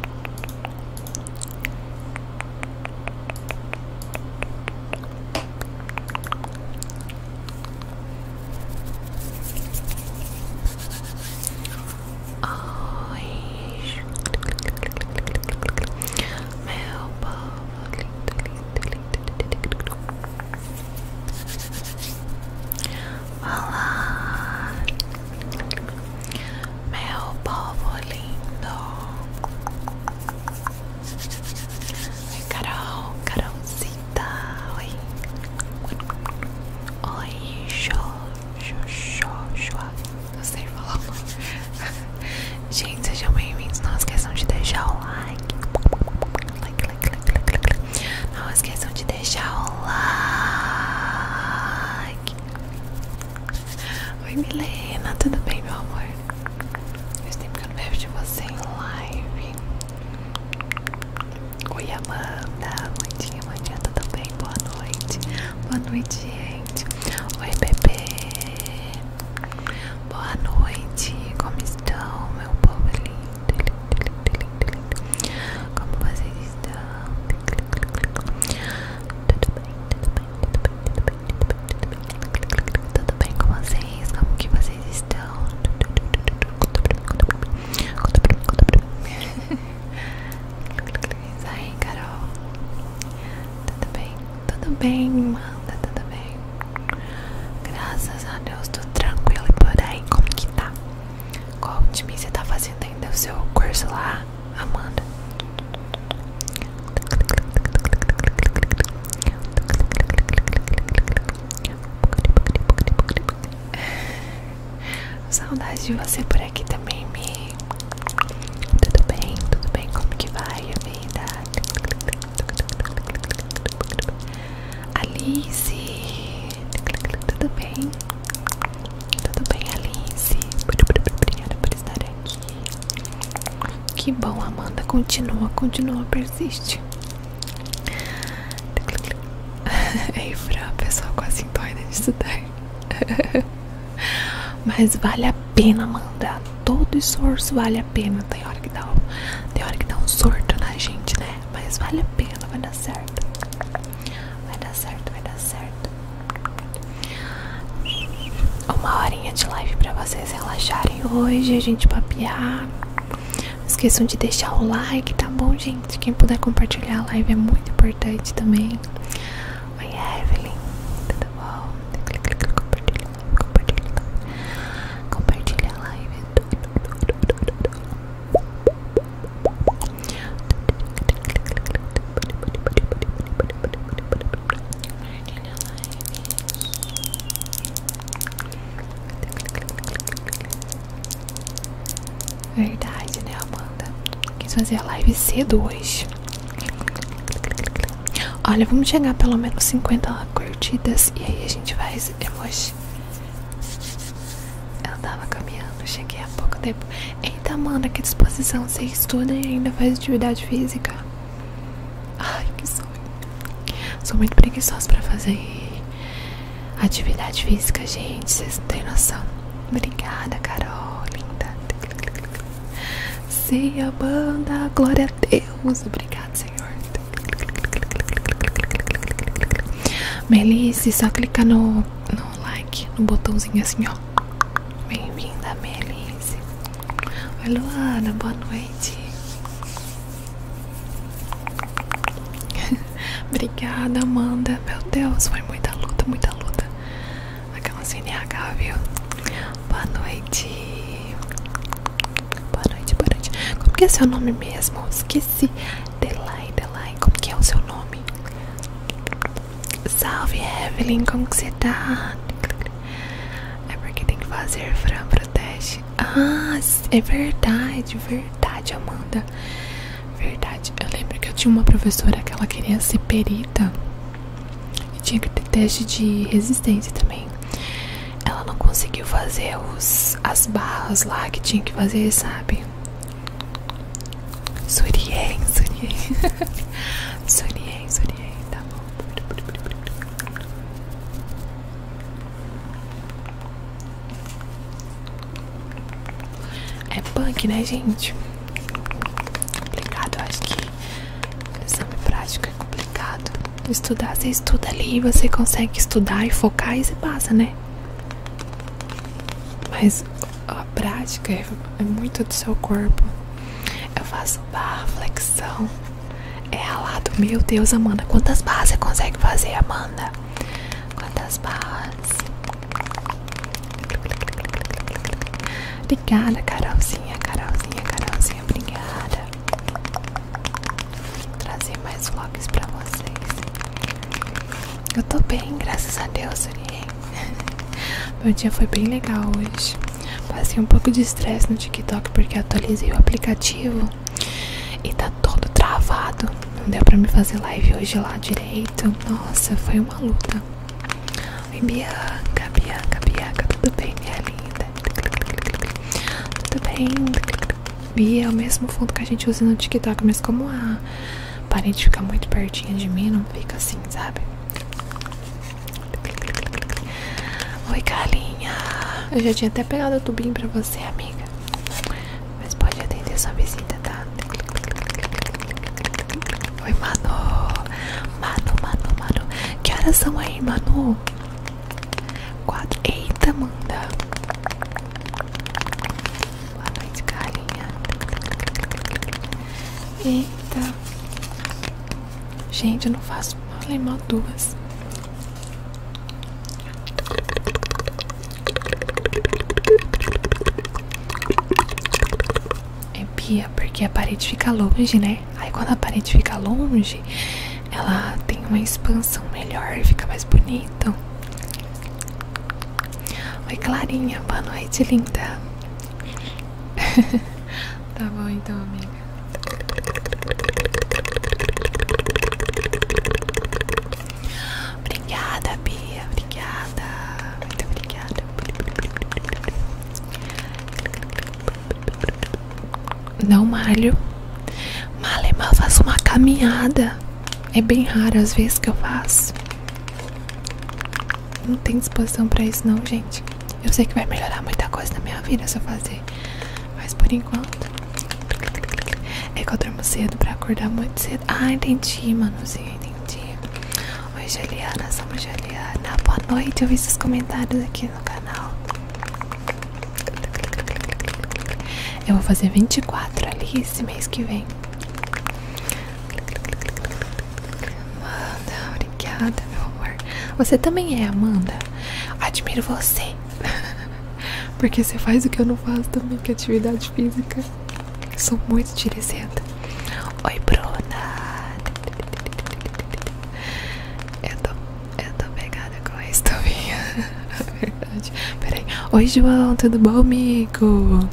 Oi, meu povo lindo, lindo, lindo. Olá, meu povo lindo. Oi, Carol, Carolzita. Oi. Oi, Joshua. Não sei falar. Gente, sejam bem-vindos. Não esqueçam de deixar o Like, like, like, like, like. Não esqueçam de deixar o like. Oi Milena, tudo bem meu amor? Esse tempo que eu não vejo de você em live Oi Amanda, bom dia, bom dia, tudo bem? Boa noite, boa noite gente Oi bebê Boa noite, como estão meu povo lindo, lindo, lindo, lindo, lindo. Como vocês estão? Tudo bem, tudo bem, tudo bem, tudo bem, tudo bem, tudo bem tudo com vocês? Como que vocês estão? Isso tudo Carol. Tudo bem, tudo bem, Manda, tá tudo bem. Graças tudo Deus, tudo tranquilo tudo por tudo Como tudo tá? tudo time tudo tá tudo ainda tudo seu tudo lá? Amanda. Saudade de você por aqui também, me Tudo bem? Tudo bem? Como que vai a vida? Alice. Tudo bem? Tudo bem, Alice? Obrigada por estar aqui. Que bom, Amanda. Continua, continua, persiste. Ei, Fran, a pessoa quase entoida de estudar. Mas vale a pena, Amanda. Todo esforço vale a pena. Tem hora que dá, tem hora que dá um surto na gente, né? Mas vale a pena, vai dar certo. Vai dar certo, vai dar certo. Uma horinha de live pra vocês relaxarem hoje, a gente papear. Não esqueçam de deixar o like, tá bom, gente? Quem puder compartilhar a live é muito importante também. Oi, Evelyn, tudo bom? Compartilha, compartilha, compartilha a live. Verdade, né, Amanda? Quis fazer a live cedo hoje. Olha, vamos chegar a pelo menos 50 curtidas e aí a gente faz emoji. Eu tava caminhando, cheguei há pouco tempo. Eita, mano, que disposição. Você estuda e ainda faz atividade física. Ai, que sonho. Sou muito preguiçosa pra fazer atividade física, gente. Vocês não têm noção. Obrigada, Carol. Linda. Se a banda, glória a Deus. Obrigada, Senhor. Melice, só clica no, no like, no botãozinho assim, ó. Bem-vinda, Melise. Oi, Luana, boa noite. Obrigada, Amanda. Meu Deus, foi muita luta, muita luta. Aquela CNH, viu? Boa noite. Boa noite, boa noite. Como que é seu nome mesmo? Esqueci. Delay, Delay. Como que é o seu nome? Salve Evelyn, como que você tá? É porque tem que fazer Fran pro teste. Ah, é verdade, verdade, Amanda. Verdade, eu lembro que eu tinha uma professora que ela queria ser perita e tinha que ter teste de resistência também. Ela não conseguiu fazer os, as barras lá que tinha que fazer, sabe? Surien, surien Surien, surien, tá bom É punk, né, gente? Complicado, eu acho que exame prático é complicado Estudar, você estuda ali Você consegue estudar e focar E você passa, né? Mas a prática é, é muito do seu corpo. Eu faço barra, flexão. É ralado. Meu Deus, Amanda. Quantas bases você consegue fazer, Amanda? Quantas bases Obrigada, Carolzinha, Carolzinha, Carolzinha. Obrigada. Vou trazer mais vlogs pra vocês. Eu tô bem, graças a Deus, Uriel. Meu dia foi bem legal hoje. Passei um pouco de estresse no TikTok porque atualizei o aplicativo e tá todo travado. Não deu pra me fazer live hoje lá direito. Nossa, foi uma luta. Oi, Bianca, Bianca, Bianca, tudo bem, minha linda? Tudo bem? Bia é o mesmo fundo que a gente usa no TikTok, mas como a Parei de ficar muito pertinho de mim, não fica assim, sabe? Oi, galinha. Eu já tinha até pegado o tubinho pra você, amiga. Mas pode atender sua visita, tá? Oi, Manu. Manu, Manu, Manu. Que horas são aí, Manu? Quatro. Eita, Amanda. Boa noite, galinha. Eita. Gente, eu não faço. Falei mal duas. É pia, porque a parede fica longe, né? Aí quando a parede fica longe, ela tem uma expansão melhor, fica mais bonito. Oi, Clarinha, boa noite, linda. tá bom, então, amiga. Obrigada, Bia. Obrigada. Muito obrigada. Não malho. Mal e é mal faço uma caminhada. É bem raro as vezes que eu faço. Não tem disposição pra isso não, gente. Eu sei que vai melhorar muita coisa na minha vida se eu fazer. Mas por enquanto. É que eu durmo cedo pra acordar muito cedo. Ah, entendi, mano. Sim, entendi. Oi, Juliana, somos Juliana. Boa noite, eu vi seus comentários aqui no canal. Eu vou fazer 24 ali esse mês que vem. Amanda, obrigada, meu amor. Você também é, Amanda. Admiro você. Porque você faz o que eu não faço também, que é atividade física. Sou muito dirigenta. Oi, Bruna. Eu tô, eu tô pegada com a estovinha. Na verdade. Peraí. Oi, João. Tudo bom, amigo?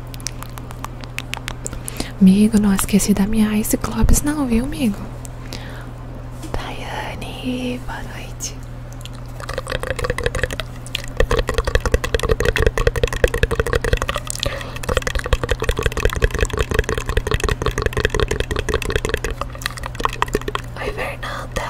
Amigo, não esqueci da minha Ice Globes não, viu, amigo? Daiane, boa noite. Oi, Fernanda.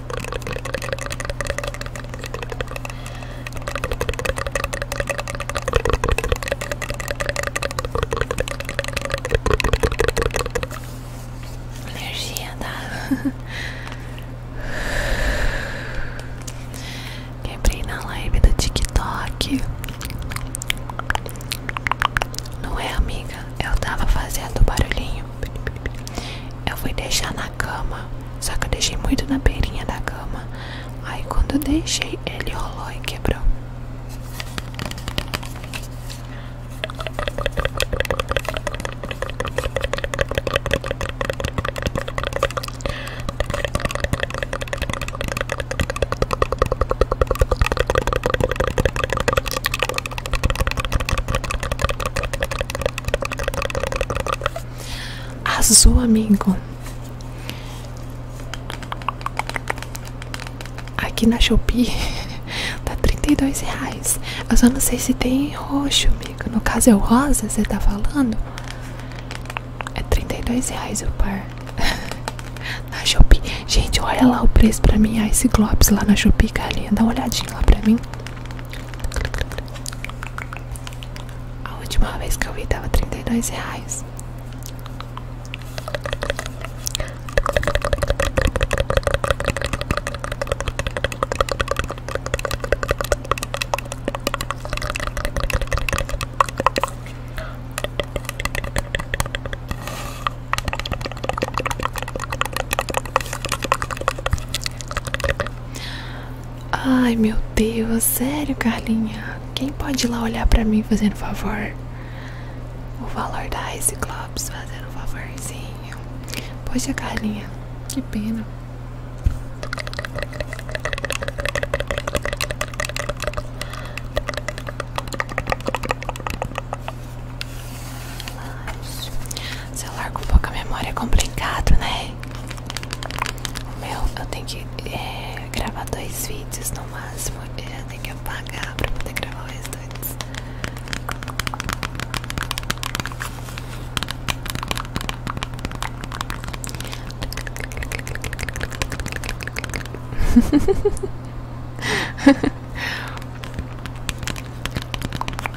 Energia, tá? Quebrei na live do TikTok. Não é, amiga? Eu tava fazendo barulhinho. Eu fui deixar na cama, só que eu deixei muito na beirinha da cama. Aí quando eu deixei, ele rolou e quebrou azul, amigo. Aqui na Shopee tá 32 reais. Eu só não sei se tem roxo, amigo. No caso é o rosa, você tá falando? É 32 reais o par. na Shopee. Gente, olha lá o preço pra mim. Ah, esse Globes lá na Shopee, carinha. Dá uma olhadinha lá pra mim. A última vez que eu vi dava trinta e 32 reais. Ai meu Deus, sério Carlinha? Quem pode ir lá olhar pra mim fazendo favor? O valor da Ice fazendo um favorzinho. Poxa Carlinha, que pena anos. Celular com pouca memória é complicado, né? O meu, eu tenho que eh, gravar dois vídeos no máximo. Eu já tenho que apagar pra poder gravar os dois.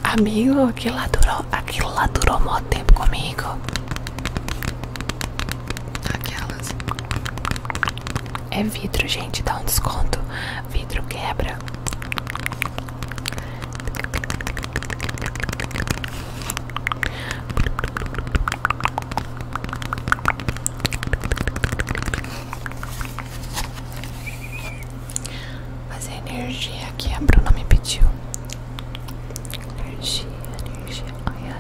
Amigo, aquilo lá durou, aquilo lá durou mó tempo comigo. Aquelas. É vidro, gente, dá um desconto. Vidro quebra fazer energia que a Bruna me pediu. Energia, energia, Energia.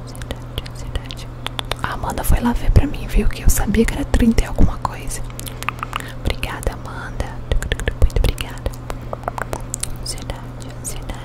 Ansiedade, ansiedade. Amanda foi lá ver pra mim, viu? Que eu sabia que era 30 e alguma coisa. Obrigada, Amanda. Muito obrigada. Ansiedade, ansiedade.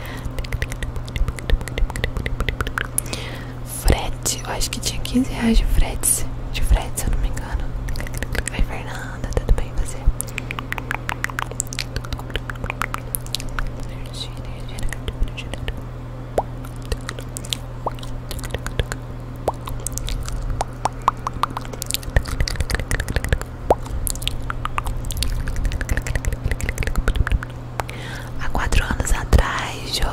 Frete, eu acho que tinha 15 reais de frete, de frete, se eu não me engano. Oi, Fernanda, tudo bem você? Há quatro anos atrás, Jô,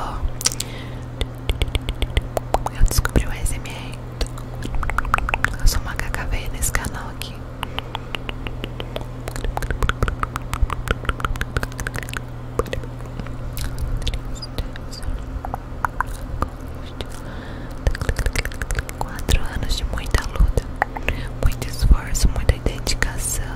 eu descobri o ASMR. Eu sou uma cacaveia nesse canal aqui quatro anos de muita luta, muito esforço, muita dedicação.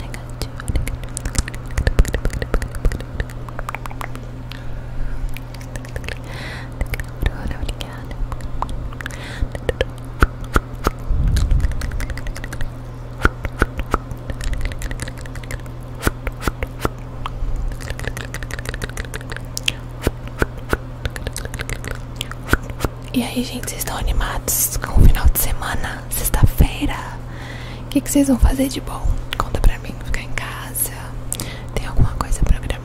Negativo, negativo. Obrigada. E aí, gente, vocês estão animados com o final de semana? Sexta-feira o que, vocês vão fazer de bom? Conta pra mim, ficar em casa? Tem alguma coisa programada?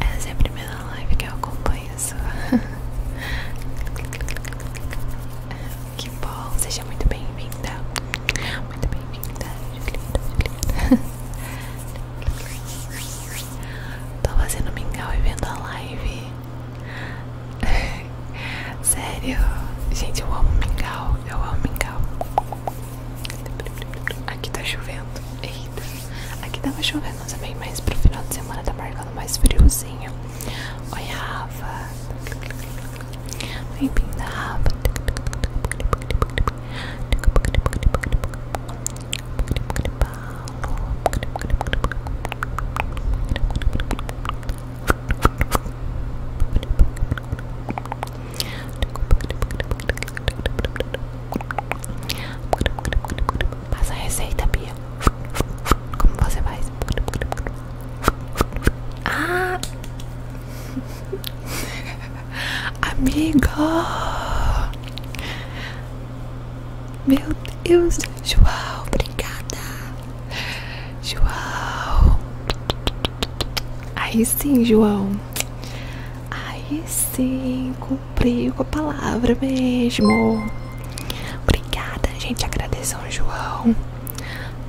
Essa é a primeira live que eu acompanho sua. que bom, seja muito bem-vinda. Muito bem-vinda. Tô fazendo mingau e vendo a live. Sério, gente, eu amo mingau. Eu amo mingau. Aqui tá chovendo. Eita. Aqui tava chovendo, também, mas é pro final de semana tá marcando mais friozinho. Oi, Rafa. Bem-vinda, Rafa. Passa a receita, Bia. Como você faz? Ah! Amigo! Meu Deus, João, obrigada! João! Aí sim, João! Aí sim, cumpriu com a palavra mesmo. Obrigada, gente. Agradeço ao João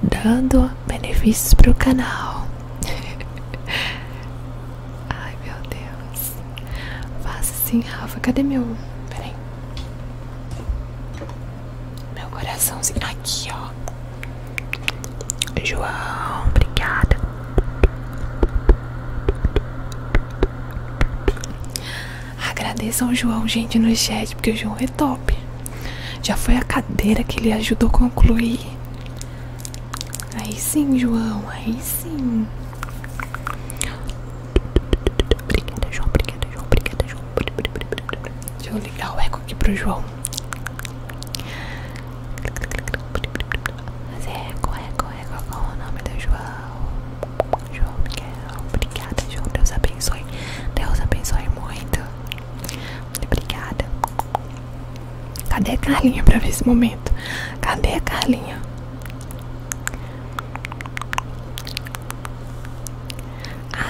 dando benefícios o canal. Ai, meu Deus. Faça sim Rafa. Cadê meu. Peraí. Meu coraçãozinho. Aqui, ó. João, obrigada. Agradeçam o João, gente, no chat, porque o João é top. Já foi a cadeira que ele ajudou a concluir. Aí sim, João, aí sim. Obrigada, João, obrigada, João, obrigada, João. Deixa eu ligar o eco aqui pro João. Mas é eco, eco, eco, qual é o nome do João? João Miguel, obrigada, João. Deus abençoe. Deus abençoe muito. Muito obrigada. Cadê a Carlinha pra ver esse momento? Cadê a Carlinha?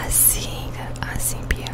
Assim, assim, Bia.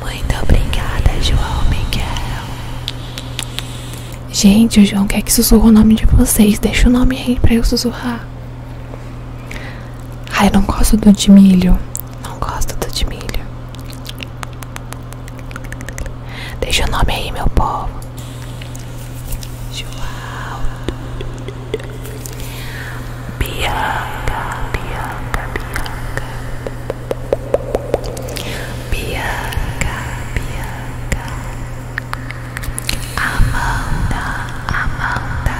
Muito obrigada, João Miguel. Gente, o João quer que sussurre o nome de vocês. Deixa o nome aí pra eu sussurrar. Ai, eu não gosto do de milho. Não gosto do de milho. Deixa o nome aí, meu povo. João. Bianca, Bianca, Bianca. Bianca, Bianca, Amanda, Amanda,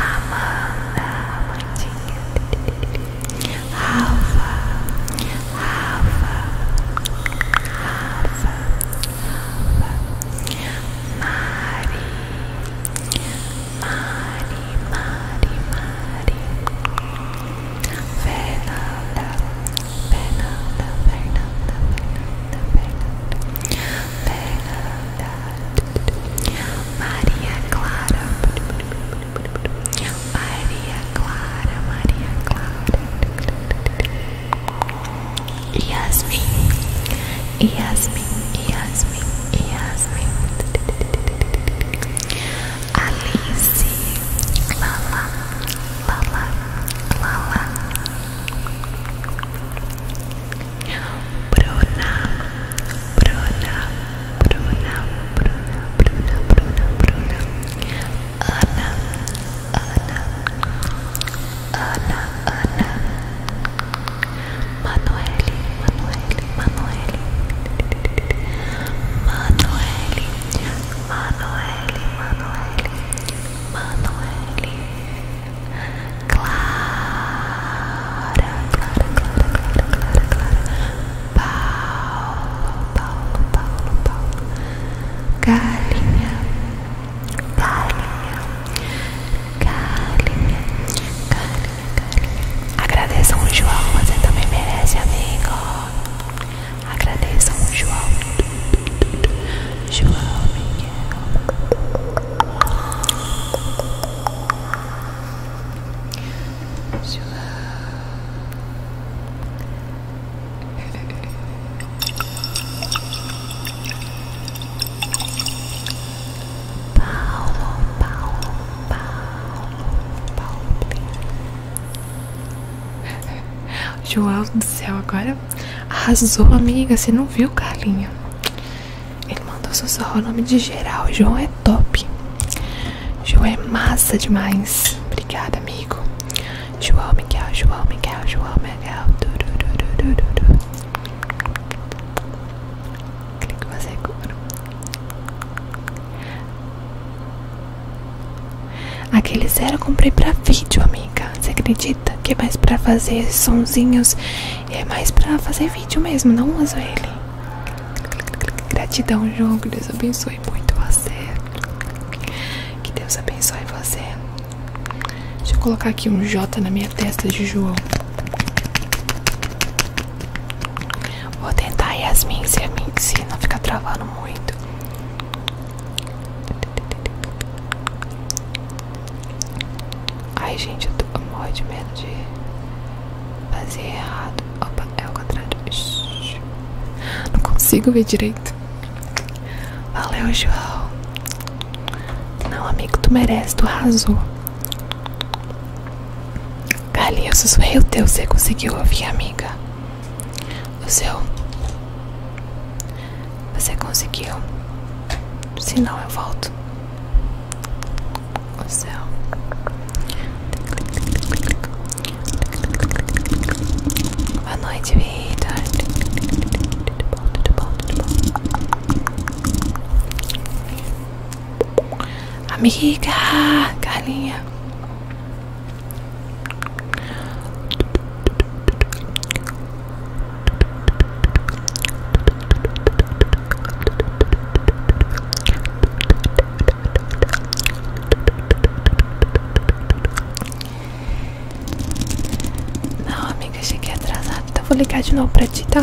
Amanda, Amandinha, Rafa, Rafa, Rafa, Rafa, Mari, Mari, Mari, Mari Fernanda, Fernanda, Fernanda, Fernanda, Fernanda, Fernanda Maria Clara Maria Clara, Maria Clara Yasmin, Yasmin, Yasmin, Yasmin Alice Lala Lala Lala Bruna Bruna Bruna Bruna Bruna Bruna Bruna Ana Ana Ana Ana Manuele Manuele Manueli, Manueli, Manueli, Manueli, Manueli, Clara, Clara, Clara, Clara, Clara, Clara, Paulo, Paulo, Paulo, Paulo, Galinha, Galinha, Galinha, Galinha. Agradeçam o João, você também merece, amigo. Agradeçam o João. João Miguel. João. Paulo, Paulo, Paulo. João do céu, agora arrasou, amiga. Você não viu, Carlinha? Ele mandou sussurrar o nome de geral. João é top. João é massa demais. Obrigada, amigo. João Miguel, João Miguel, João Miguel. Clique você compra. Aquele zero eu comprei pra vídeo, amiga. Você acredita que é mais pra fazer sonsinhos, É mais pra fazer vídeo mesmo, não uso ele. Gratidão, João. Que Deus abençoe muito você. Que Deus abençoe você. Deixa eu colocar aqui um J na minha testa de João. Vou tentar Yasmin se, se não ficar travando muito. Ai, gente, eu, eu morro de medo de fazer errado. Opa, é o contrário. Não consigo ver direito. Valeu, João. Não, amigo, tu merece, tu arrasou. Cali, eu sussurrei o teu, você conseguiu ouvir, amiga? O céu. Você conseguiu? Se não, eu volto. O céu. Boa noite, vida. Tudo bom, tudo bom, tudo bom. Amiga, Carlinha. Não, amiga, cheguei atrasada. Então vou ligar de novo pra ti, tá?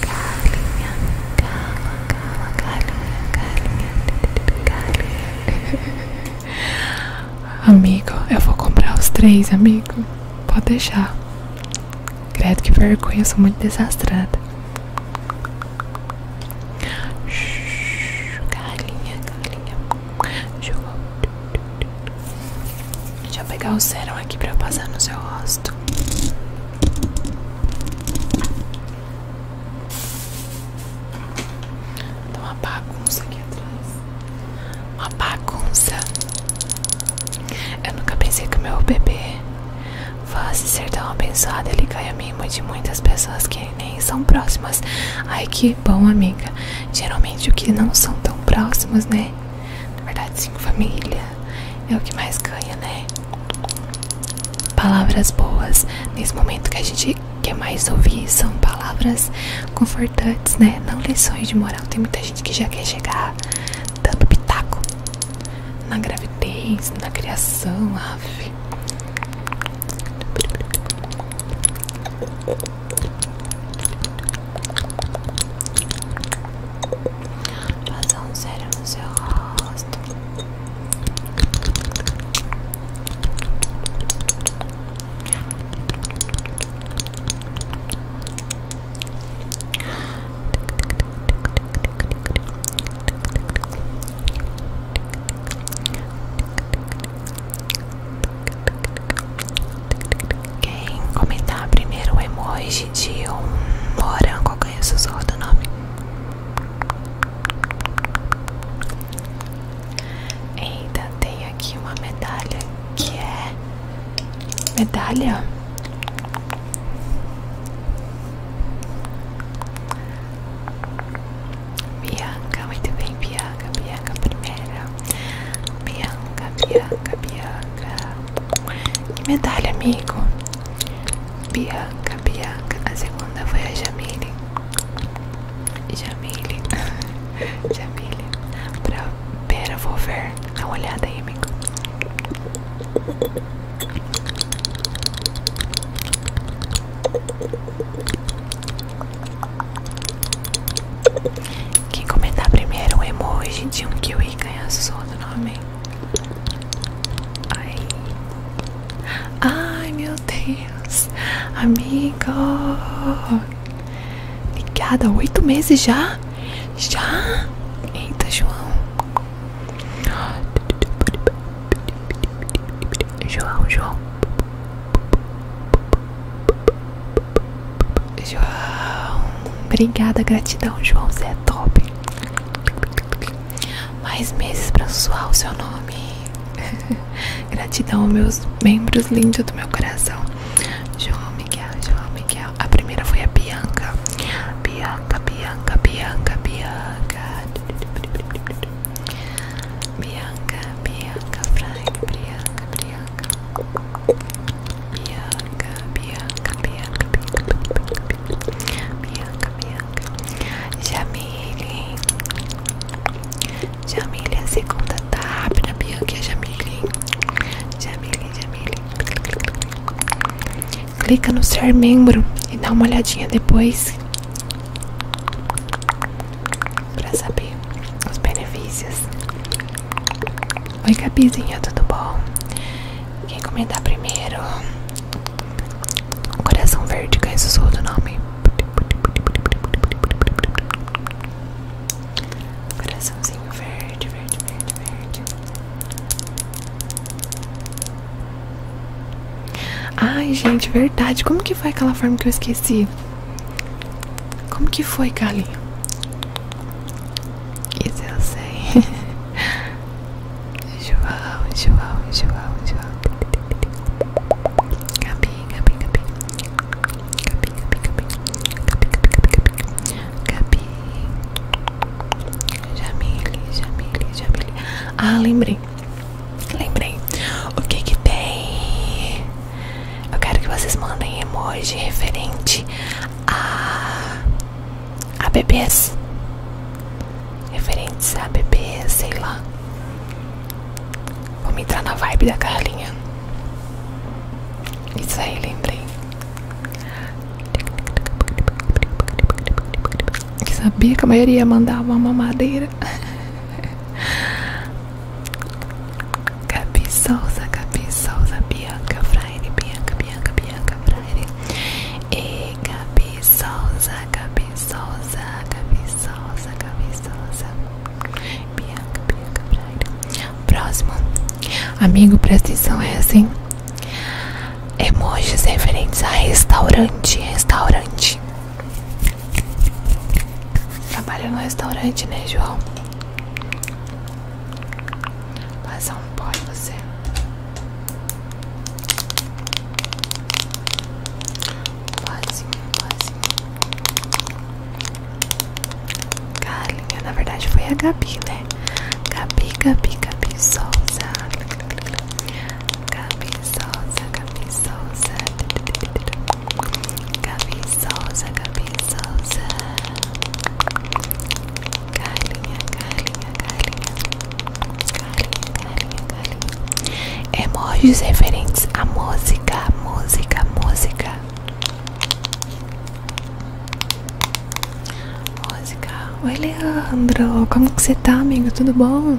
Galinha, cala, cala, galinha, galinha, galinha. Amigo, eu vou comprar os três, amigo. Pode deixar. Credo que vergonha, eu sou muito desastrada. Shhh, galinha, galinha. Jogou. Deixa eu pegar o sérum aqui pra eu passar no seu rosto. Tá uma bagunça aqui atrás. Uma bagunça. Eu nunca pensei que o meu bebê fosse ser tão abençoado. Ele cai a mim mimo de muitas pessoas que nem são próximas. Ai que bom, amiga. Geralmente o que não são tão próximas, né? Na verdade, sim, família é o que mais ganha, né? Palavras boas nesse momento que a gente quer mais ouvir são palavras confortantes, né? Não lições de moral. Tem muita gente que já quer chegar dando pitaco na gravidez, na criação, ave. Passar um sério no seu rosto. Passar quem comentar primeiro o emoji de um morango ganha o sussurro do nome. Ainda tem aqui uma medalha que é medalha Bianca, muito bem, Bianca, Bianca primeira Bianca, Bianca, Bianca que medalha, amigo? Bianca, Bianca. A segunda foi a Jamile. Jamile. Jamile. Pra Pera, vou ver. Dá uma olhada aí, amigo. Quem comentar primeiro um emoji de um kiwi ganha sono novamente. Ai. Ai meu Deus, amigo. Obrigada, oito meses já? Já? Eita, João. João, João. João, obrigada, gratidão, João, você é top. Mais meses pra soar o seu nome. gratidão, meus membros lindos do meu coração. João Miguel, João Miguel. A primeira foi a Bianca. Bianca, Bianca, Bianca, Bianca. Bianca, Bianca, Frank, Bianca, Bianca. Bianca, Bianca, Bianca, Bianca, Bianca, Bianca, Jamile, Jamile é a segunda tábua, Bianca é Jamile, Jamile, Jamile. Clica no ser membro e dá uma olhadinha depois para saber os benefícios. Oi, Gabizinha, tudo bom? Quem comentar primeiro? Coração Verde, que é sussurro do nome. Coraçãozinho verde, verde, verde, verde. Ai, gente, verdade. Como que foi aquela forma que eu esqueci? Como que foi, Carlinho? Isso eu sei. João, João, João, João. Gabi, Gabi, Gabi. Gabi, Gabi, Gabi. Gabi, Gabi, Gabi. Gabi. Jamile, Jamile, Jamile. Ah, lembrei. Lembrei. O que que tem? Eu quero que vocês mandem emoji referente a, a bebês. referente a bebês, sei lá. Vamos entrar na vibe da Carlinha. Isso aí, lembrei. Que sabia que a maioria mandava uma mamadeira. Gabi Souza, Bianca Freire, Bianca, Bianca, Bianca Freire e Gabi Souza, Gabi Souza, Bianca, Bianca Freire. Próximo, amigo, presta atenção essa, é assim. hein? Emojis referentes a restaurante, restaurante. Trabalha no restaurante, né, João? Passar um pó você. Pozinho, pozinho. Carlinha, na verdade foi a Gabi, né? Gabi, Gabi, Gabi Souza. Gabi Souza, Gabi Souza. Gabi Souza, Gabi Souza Carlinha, Carlinha, Carlinha Carlinha, Carlinha, Emojis referentes à música, música, música Música Oi Leandro, como que você tá amigo? Tudo bom?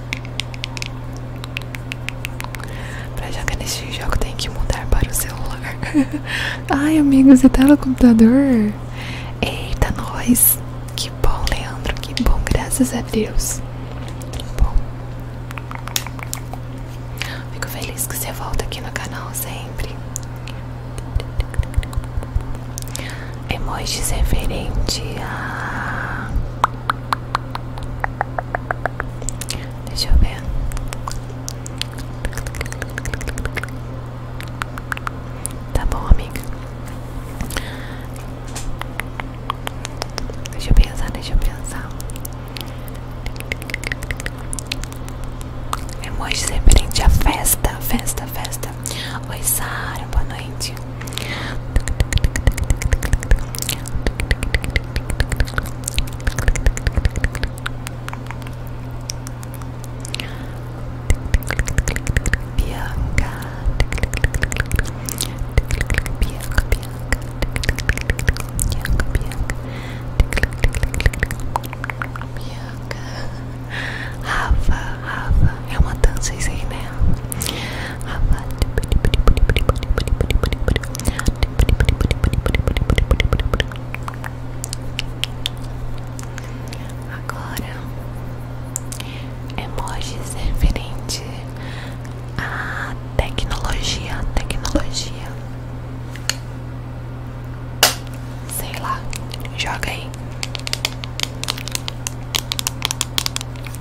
Pra jogar neste jogo tem que mudar para o celular. Ai, amigo, você tá no computador? Eita, nós! Que bom, Leandro, que bom, graças a Deus. Fico feliz que você volta aqui no canal sempre. Emojis referente a Deixa eu ver. Tá bom, amiga. Deixa eu pensar, deixa eu pensar. Emoji referente à festa, festa, festa. Oi, Sara, boa noite. Bianca, Bianca, Bianca, Bianca, Bianca, Rafa, Rafa, é uma dança isso aí, né? Agora, emojis referente à tecnologia, tecnologia. Sei lá, joga aí.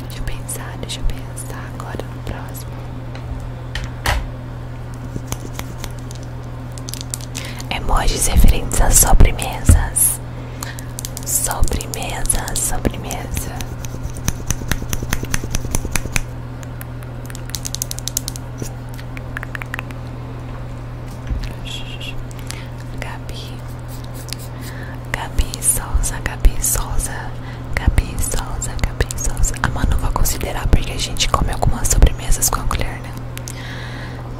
Deixa eu pensar, deixa eu pensar agora no próximo. Emojis referentes a sobremesas. Sobremesa, sobremesa. Gabi Gabi Souza, Gabi Souza Gabi Souza, Gabi Souza A Manu vai considerar porque a gente come algumas sobremesas com a colher, né?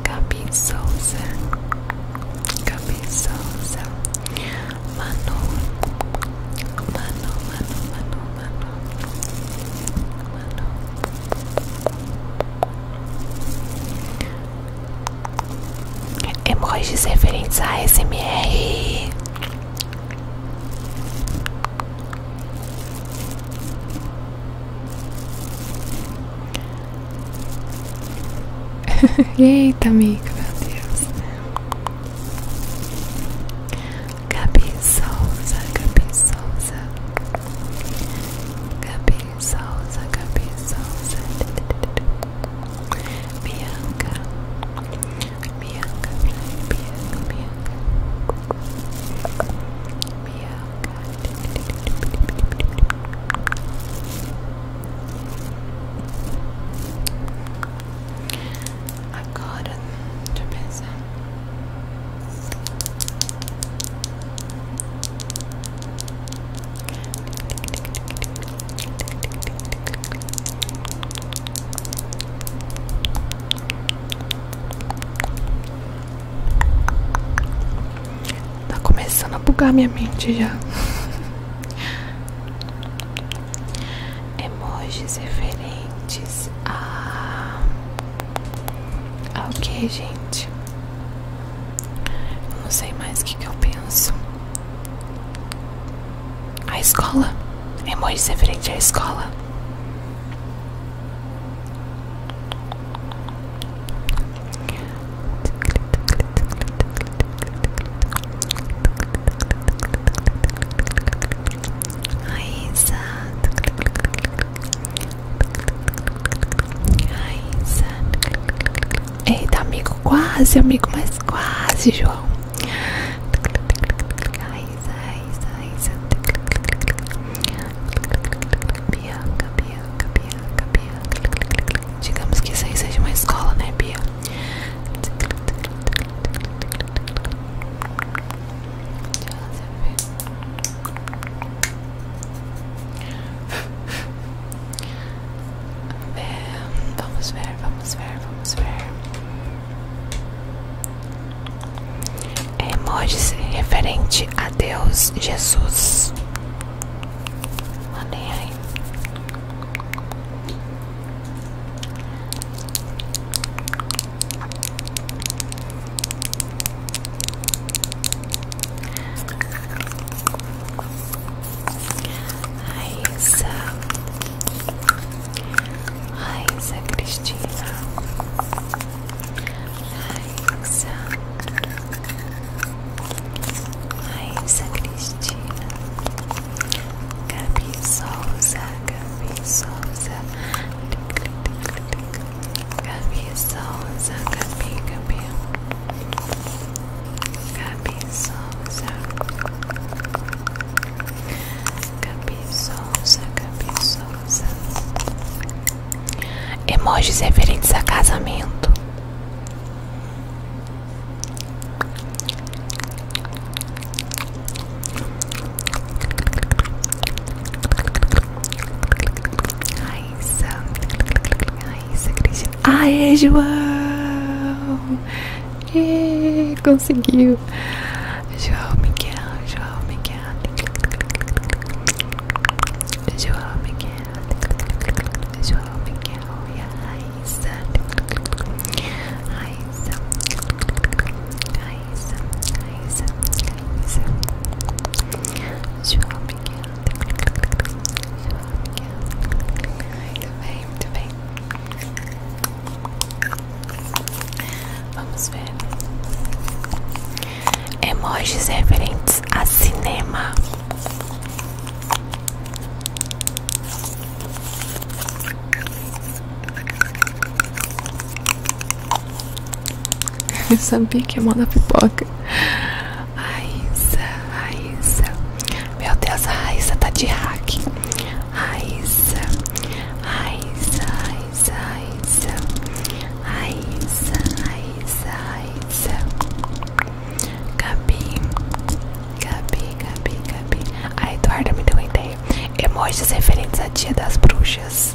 Gabi Souza Gabi Souza Manu Manu, Manu, Manu, Manu Manu Emojis referentes a SMR. Eita, amigo, meu Deus. Gabi Souza, Gabi Souza. Gabi cabeça, ouça a cabeça, ouça Bianca, Bianca, Bianca, Bianca Bianca Agora, deixa eu pensar Tá começando a bugar minha mente já. Emojis referentes a ah, ok, gente. não sei mais o que, eu penso. A escola. é Emojis referente à escola. A Raíssa. Eita, amigo, quase, amigo, mas quase, João. Raíssa, Raíssa, Raíssa. Bianca, Bianca, Bianca, Bianca. Digamos que isso aí seja uma escola, né, Bia? Joseph. É, vamos ver, vamos ver, vamos ver. É emojis referente a Deus Jesus. Mandem aí. É. Raíssa Raíssa Cristina Raíssa Raíssa Cristina Gabi Souza Gabi Souza Gabi Souza, Gabi, Gabi Gabi Souza Gabi Souza, Gabi Souza Emojis referentes a casamento Raíssa, Raíssa Cristina. Aê, João! E conseguiu! João Miguel, João Miguel, João Miguel, João Miguel e a Raíssa. Raíssa, Raíssa, Raíssa, Raíssa João Miguel João Miguel Muito bem, muito bem Vamos ver Emojis referentes a cinema eu sabia que ia é mandar pipoca. Raíssa, Raíssa. Meu Deus, a Raíssa tá de hack. Raíssa, Raíssa, Raíssa, Raíssa. Raíssa, Raíssa, Raíssa. Gabi, Gabi, Gabi, Gabi. A Eduarda me deu uma ideia. Emojis referentes a Dia das Bruxas.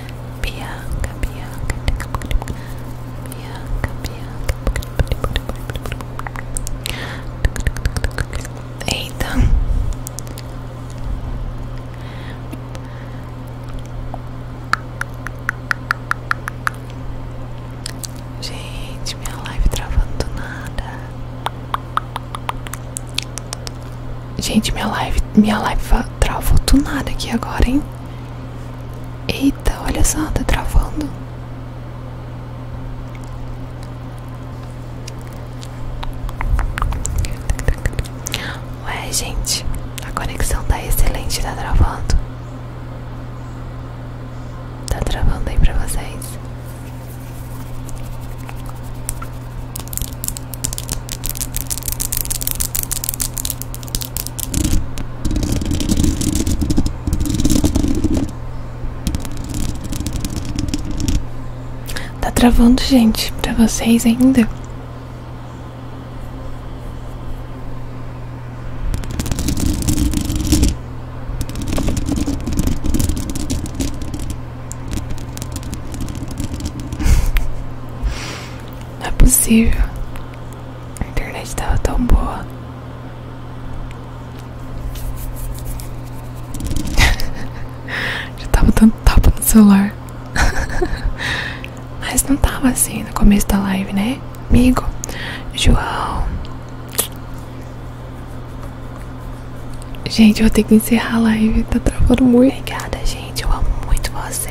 Bianca, Bianca, Bianca, Bianca. Eita. Gente, minha live travando do nada. Gente, minha live, minha live travou do nada aqui agora, hein? Eita, olha só, tá travando. Ué, gente, a conexão tá excelente, tá travando. Tá travando aí pra vocês. Tá travando, gente, pra vocês ainda? Não é possível. A internet tava tão boa. Já tava dando tapa no celular. Mas não tava assim no começo da live, né? Amigo, João. Gente, eu vou ter que encerrar a live, tá travando muito. Obrigada, gente, eu amo muito você.